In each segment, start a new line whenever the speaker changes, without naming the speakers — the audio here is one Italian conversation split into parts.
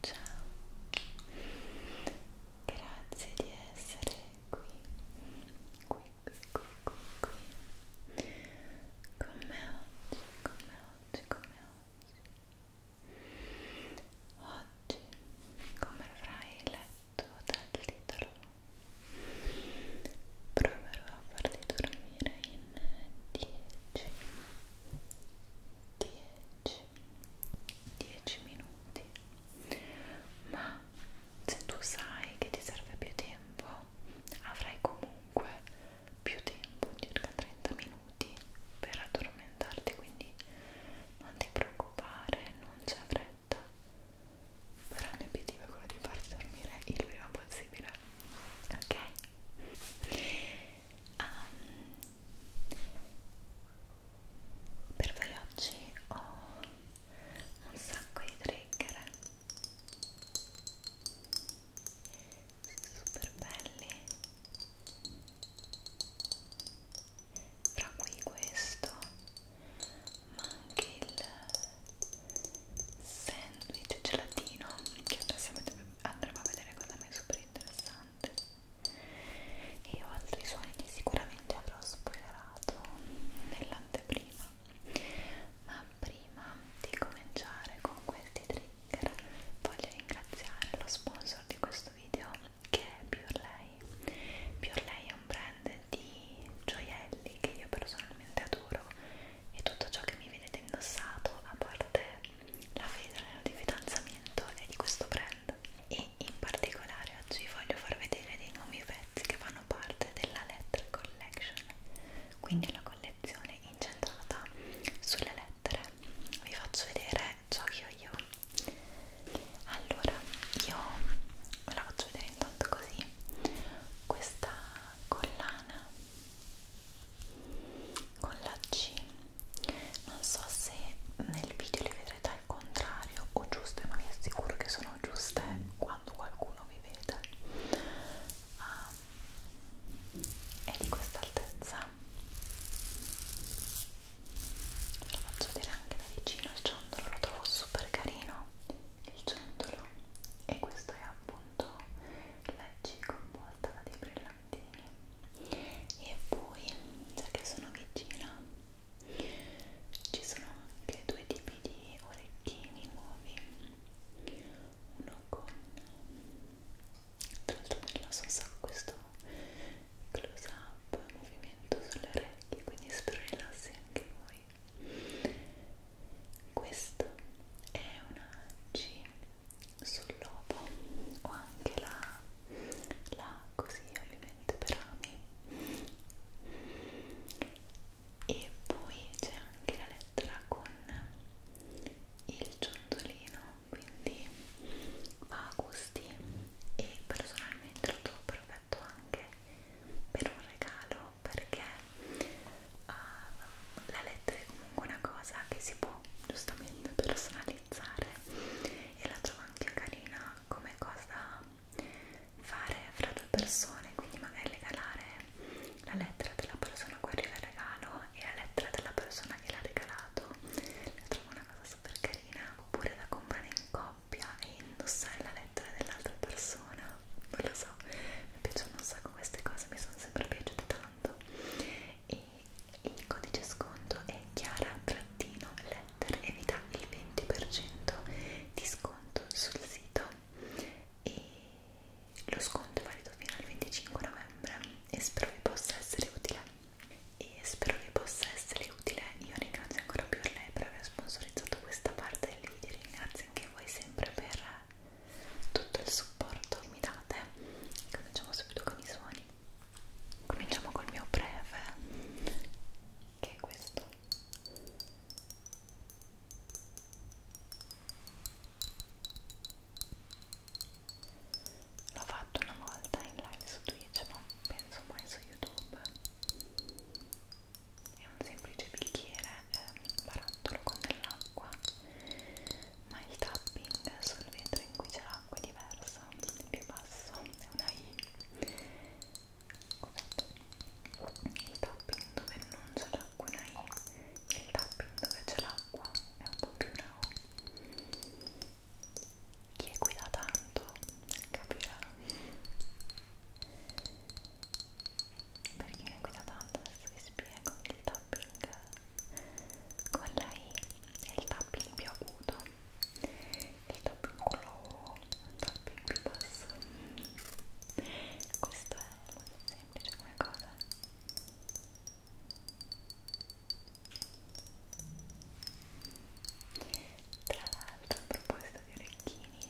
Ciao, grazie di essere qui, qui, qui, qui, qui, con me oggi, con me oggi, con me oggi. Oggi, come avrai letto dal titolo, proverò a farti dormire in 10 10 9 8 7 6 5 4 3 2 1 10 10 minuti ma se tu sai che ti serve più tempo avrai comunque più tempo circa 30 minuti per addormentarti quindi non ti preoccupare non c'è fretta però il mio obiettivo è quello di farti dormire il prima possibile ok um, per voi oggi ho un sacco di trigger super belli tra cui questo ma anche il sandwich gelatino che adesso andremo a vedere cosa mi è super interessante interessante e ho altri suoni che sicuramente avrò spoilerato nell'anteprima ma prima di cominciare con questi trigger voglio ringraziare lo sponsor di questo video che è Purelay Purelay è un brand di gioielli che io personalmente adoro e tutto ciò che mi vedete indossato a parte la vedere di fidanzamento è di questo brand e in particolare oggi voglio far vedere dei nuovi pezzi che fanno parte della Letter Collection quindi la collezione incentrata sulle lettere vi faccio vedere ciò che ho io allora io ve la faccio vedere intanto così questa collana con la C non so se nel video le vedrete al contrario o giuste ma vi assicuro che sono giuste quando qualcuno vi vede um, è di questa altezza ve lo faccio vedere anche da vicino il ciondolo lo trovo super carino il ciondolo e questo è appunto la C con volta da debrillante tarantine e poi già che sono vicina ci sono anche due tipi di orecchini nuovi uno con tra l'altro nella sua so questo close up movimento sulle orecchie quindi spero rilassi anche voi questo è una C sul lobo o anche la, la così ovviamente per ami e poi c'è anche la lettera con il ciondolino quindi va a gusti e personalmente lo trovo perfetto anche per un regalo perché uh, la lettera è comunque una cosa che si può po' giustamente personalizzare e la trovo anche carina come cosa fare fra due persone quindi magari regalare la lettera della persona a cui arriva il regalo e la lettera della persona che l'ha regalato la trovo una cosa super carina oppure da comprare in coppia e indossare la lettera dell'altra persona non lo so mi piacciono un sacco queste cose mi sono sempre piaciute tanto e e il codice sconto è chiara-letter e vi dà il 20% di sconto sul sito e lo sconto è valido fino al 25 novembre e spero vi possa essere utile e spero vi possa essere utile io ringrazio ancora più lei per aver sponsorizzato questa parte del video ringrazio anche voi sempre per tutto il supporto che mi date cominciamo subito con i suoni cominciamo col mio breve che è questo l'ho fatto una volta in live su Twitch ma penso mai su YouTube è un semplice bicchiere eh, barattolo con dell'acqua ma il tapping sul vetro in cui c'è l'acqua è diverso, il più basso è una I il tapping dove non c'è l'acqua è una I il tapping dove c'è l'acqua è un po' più una O chi è qui da tanto capirà perché mi guida tanto adesso vi spiego il tapping con la I è il tapping più acuto il tapping con la O il tapping più basso questo è molto semplice come cosa tra l'altro a proposito di orecchini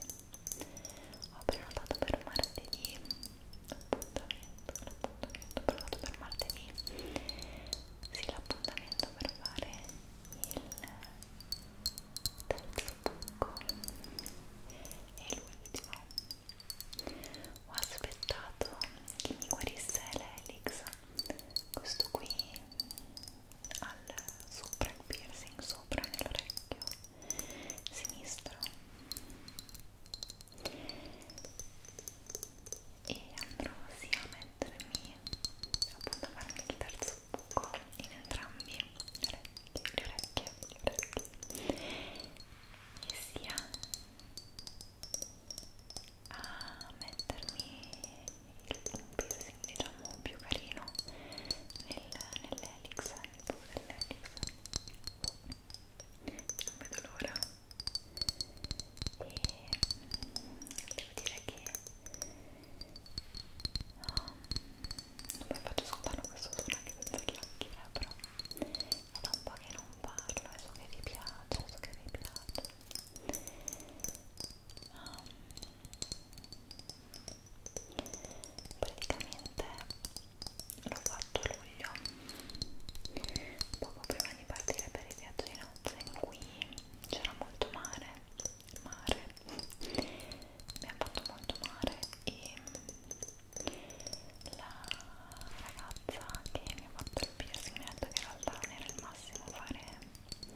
ho prenotato per martedì l'appuntamento, l'appuntamento provato per martedì sì, l'appuntamento per fare il terzo buco e l'ultimo ho aspettato che mi guarisse l'elix questo qui al sopra il piercing sopra nell'orecchio sinistro e andrò sia a mettermi appunto a farmi il terzo buco in entrambi le orecchie, le orecchie, le orecchie e sia a mettermi il piercing diciamo più carino nel, nell'elix nel buco dell'elix non vedo l'ora e devo dire che um, non mi faccio ascoltare questo suono anche senza chiacchiere però è da un po' che non parlo e eh, so che vi piace, so che vi piace um, praticamente l'ho fatto a luglio poco prima di partire per il viaggio di nozze in cui c'era molto mare mare mi ha fatto molto mare e la ragazza che mi ha fatto il piercing mi ha detto che in realtà non era il massimo fare il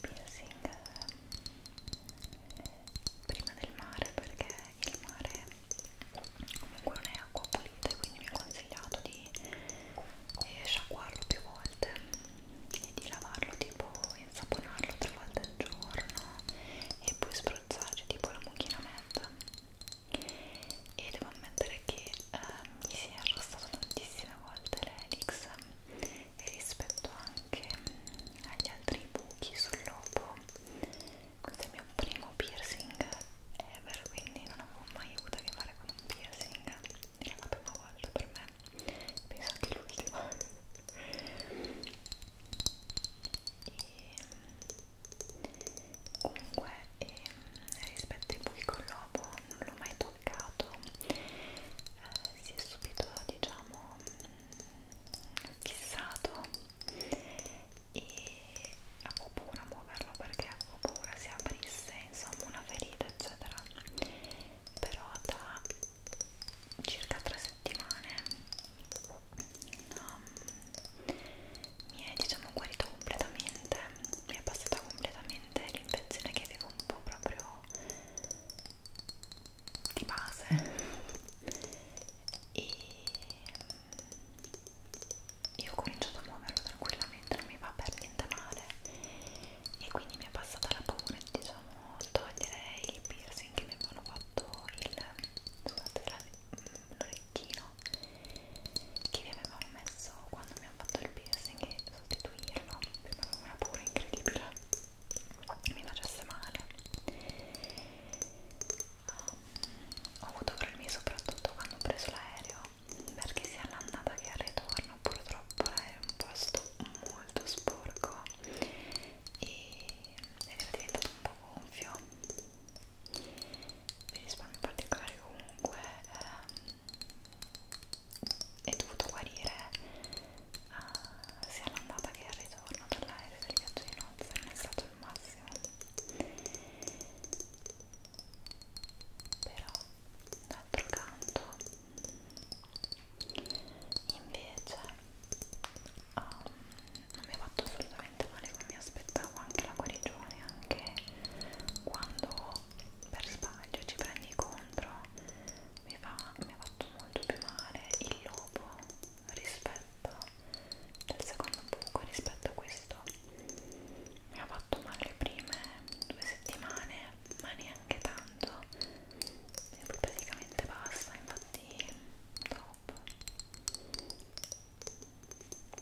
piercing eh, prima del mare perché il mare comunque non è acqua pulita e quindi mi ha consigliato di eh, sciacquarlo più volte e di lavarlo tipo insaponarlo tre volte al giorno e poi spruzzarci tipo la mucchina mezza e devo ammettere che eh, mi si è arrossato tantissime volte l'elix e rispetto anche agli altri buchi sul lobo questo è il mio primo piercing ever quindi non avevo mai avuto a che fare con un piercing era la prima volta per me penso anche l'ultima e comunque e, ehm, rispetto ai buchi con l'uovo non l'ho mai toccato eh, si è subito diciamo fissato e avevo paura a muoverlo perché avevo paura si aprisse insomma una ferita eccetera però da circa tre settimane um, mi è diciamo guarito completamente mi è passata completamente l'infezione che avevo un po' proprio di base e io ho cominciato a muoverlo tranquillamente, non mi va per niente male e quindi mi è passata la paura di diciamo, togliere il piercing che mi avevano fatto il mm, l'orecchino che mi avevano messo quando mi hanno fatto il piercing e sostituirlo prima avevo una paura incredibile mi facesse male ho avuto problemi soprattutto quando ho preso l'aereo perché sia all'andata che al ritorno purtroppo l'aereo è un posto molto sporco e è diventato un po' gonfio mi risparmio particolare comunque ehm, è dovuto guarire eh, sia all'andata che al ritorno dall'aereo del viaggio di nozze non è stato il massimo però d'altro canto invece um, non mi ha fatto assolutamente male come mi aspettavo anche la guarigione anche quando per sbaglio ci prendi contro mi, fa, mi ha fatto molto più male il lobo rispetto rispetto al secondo buco rispetto a questo mi ha fatto male le prime due settimane ma neanche tanto e poi praticamente basta infatti top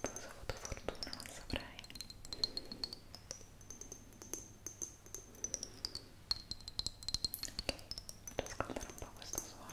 poi ho avuto fortuna non saprei ok, devo ascoltare un po' questo suono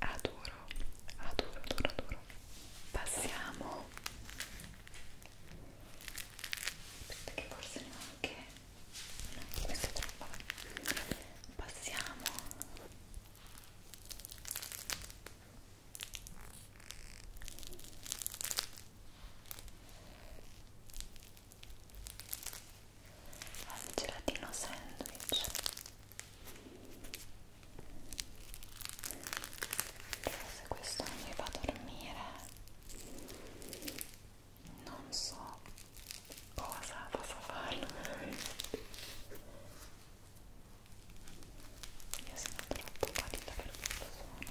Adoro, adoro, adoro, adoro. Passiamo. Aspetta che forse neanche questo è troppo passiamo al ah, gelatino sandwich se questo non mi fa dormire non so cosa possa farlo io sono troppo pallida per questo suono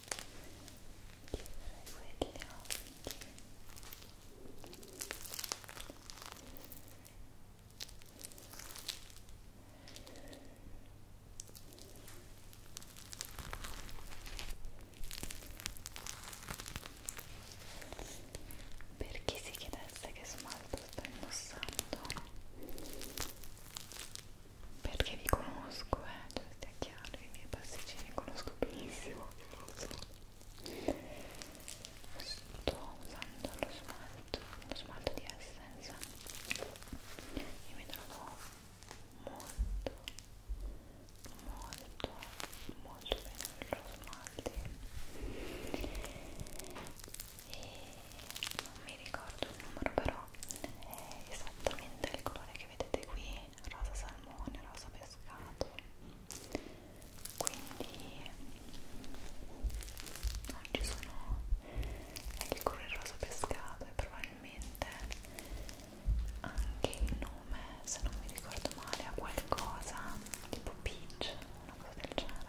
chiuderei quelle occhi per chi si chiedesse che smalto sto indossando perché vi conosco, eh, cioè stia chiaro, i miei pasticcini conosco benissimo, sto usando lo smalto, lo smalto di Essence e mi trovo molto, molto, molto bene con lo smalto e non mi ricordo il numero però è esattamente il colore che vedete qui rosa salmone, rosa pescato quindi non ah, ci sono è il colore rosa pescato e probabilmente anche il nome se non mi ricordo male ha qualcosa tipo peach una cosa del genere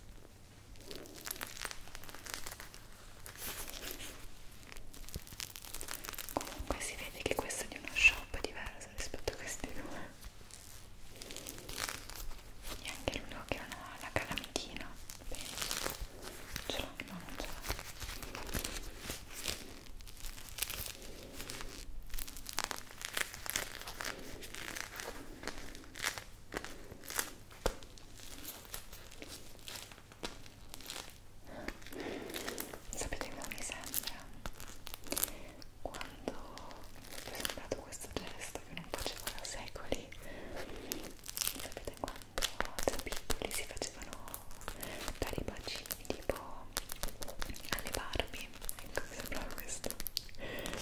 Comunque si vede che questo è di uno shop diverso rispetto a questi due e anche loro che hanno la calamitina penso ce l'ho, no non ce l'ho Sapete come mi sembra? Quando mi ho presentato questo gesto che non facevo da secoli, sapete quando da piccoli si facevano dare i bacini tipo alle Barbie? Ecco, mi sembrava questo.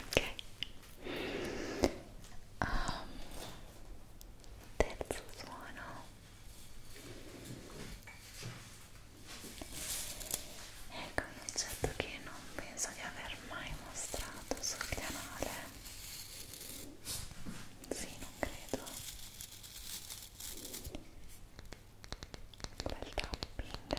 ok um, terzo suono ecco un oggetto che non penso di aver mai mostrato sul canale sì, non credo. Bel tapping.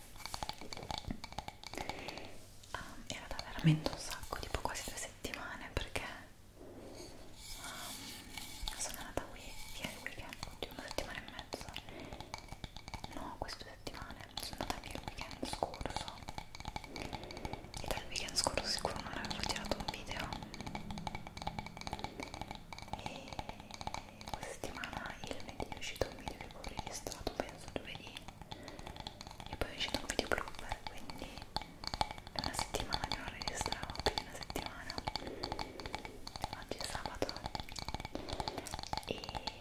um, era da veramente un sacco, tipo quasi due settimane perché um, sono andata qui via il weekend, oddio, una settimana e mezza no, queste due settimane sono andata via il weekend scorso e dal weekend scorso sicuro non avevo girato un video e questa settimana il lunedì è uscito un video che avevo registrato penso giovedì e poi è uscito un video blooper quindi è una settimana che non registravo più di una settimana oggi è sabato e mm,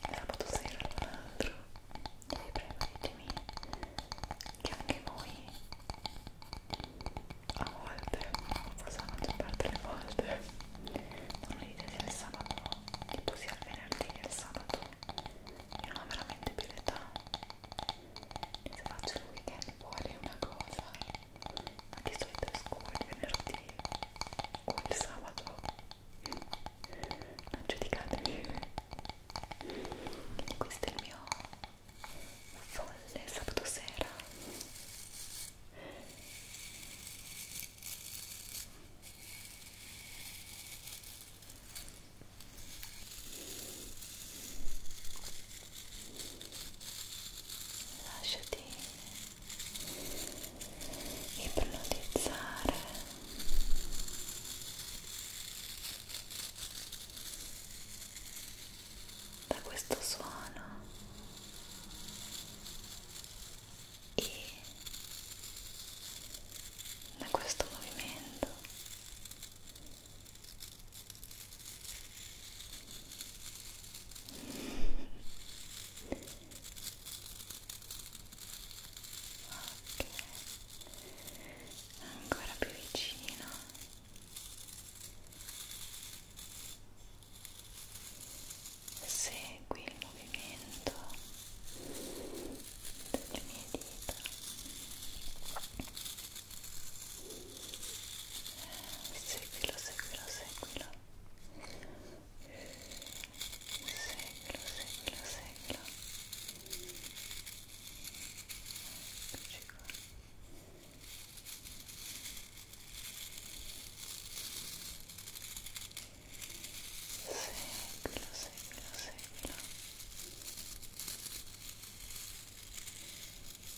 sabato sera all'altro e prevedetemi che anche voi a volte, forse la maggior parte delle volte non mi dite se il sabato tipo sia il venerdì che il sabato io non ho veramente più l'età se faccio il weekend fuori è una cosa di solito esco il venerdì o il sabato non giudicatemi quindi questo è il mio folle sabato sera lasciati ipnotizzare da questo suono e da questo movimento ancora più vicino segui il movimento delle mie dita seguilo, seguilo, seguilo seguilo, seguilo, seguilo eccoci qua seguilo, seguilo, seguilo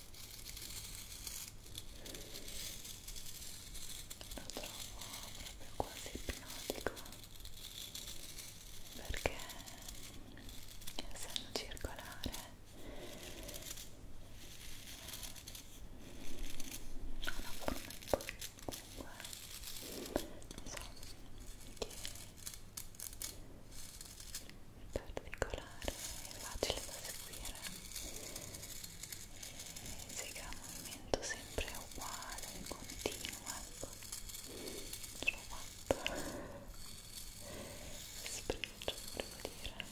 lo trovo proprio quasi ipnotico perché essendo circolare ha una forma in cui comunque non so che è particolare è facile da seguire Segua un movimento sempre uguale, continuo, ecco. L'ho fatto. Sprigio, volevo dire. Ecco.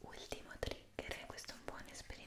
Ultimo trigger, questo è un buon esperimento.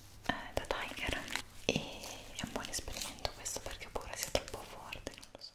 eh, da Tiger e è un buon esperimento questo perché pure sia troppo forte, non lo so.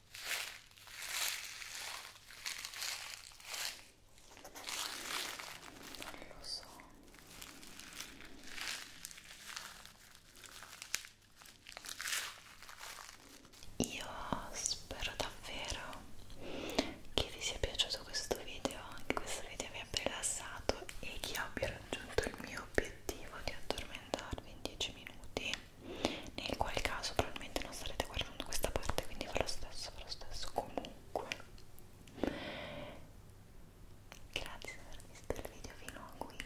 non lo so io spero davvero che vi sia piaciuto questo video che questo video vi abbia rilassato e che abbia raggiunto il mio obiettivo di addormentarvi in 10 minuti nel qual caso probabilmente non starete guardando questa parte quindi fa lo stesso, fa lo stesso comunque grazie per aver visto il video fino a qui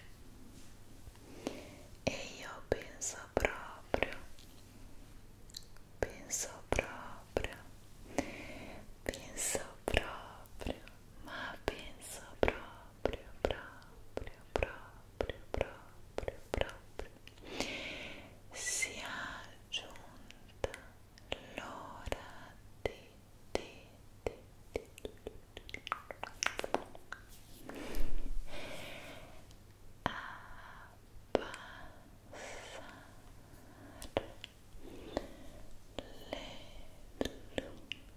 e io penso proprio penso proprio penso proprio ma penso proprio proprio proprio proprio proprio proprio sia giunta l'ora di, di, di, di, di abbassare le luci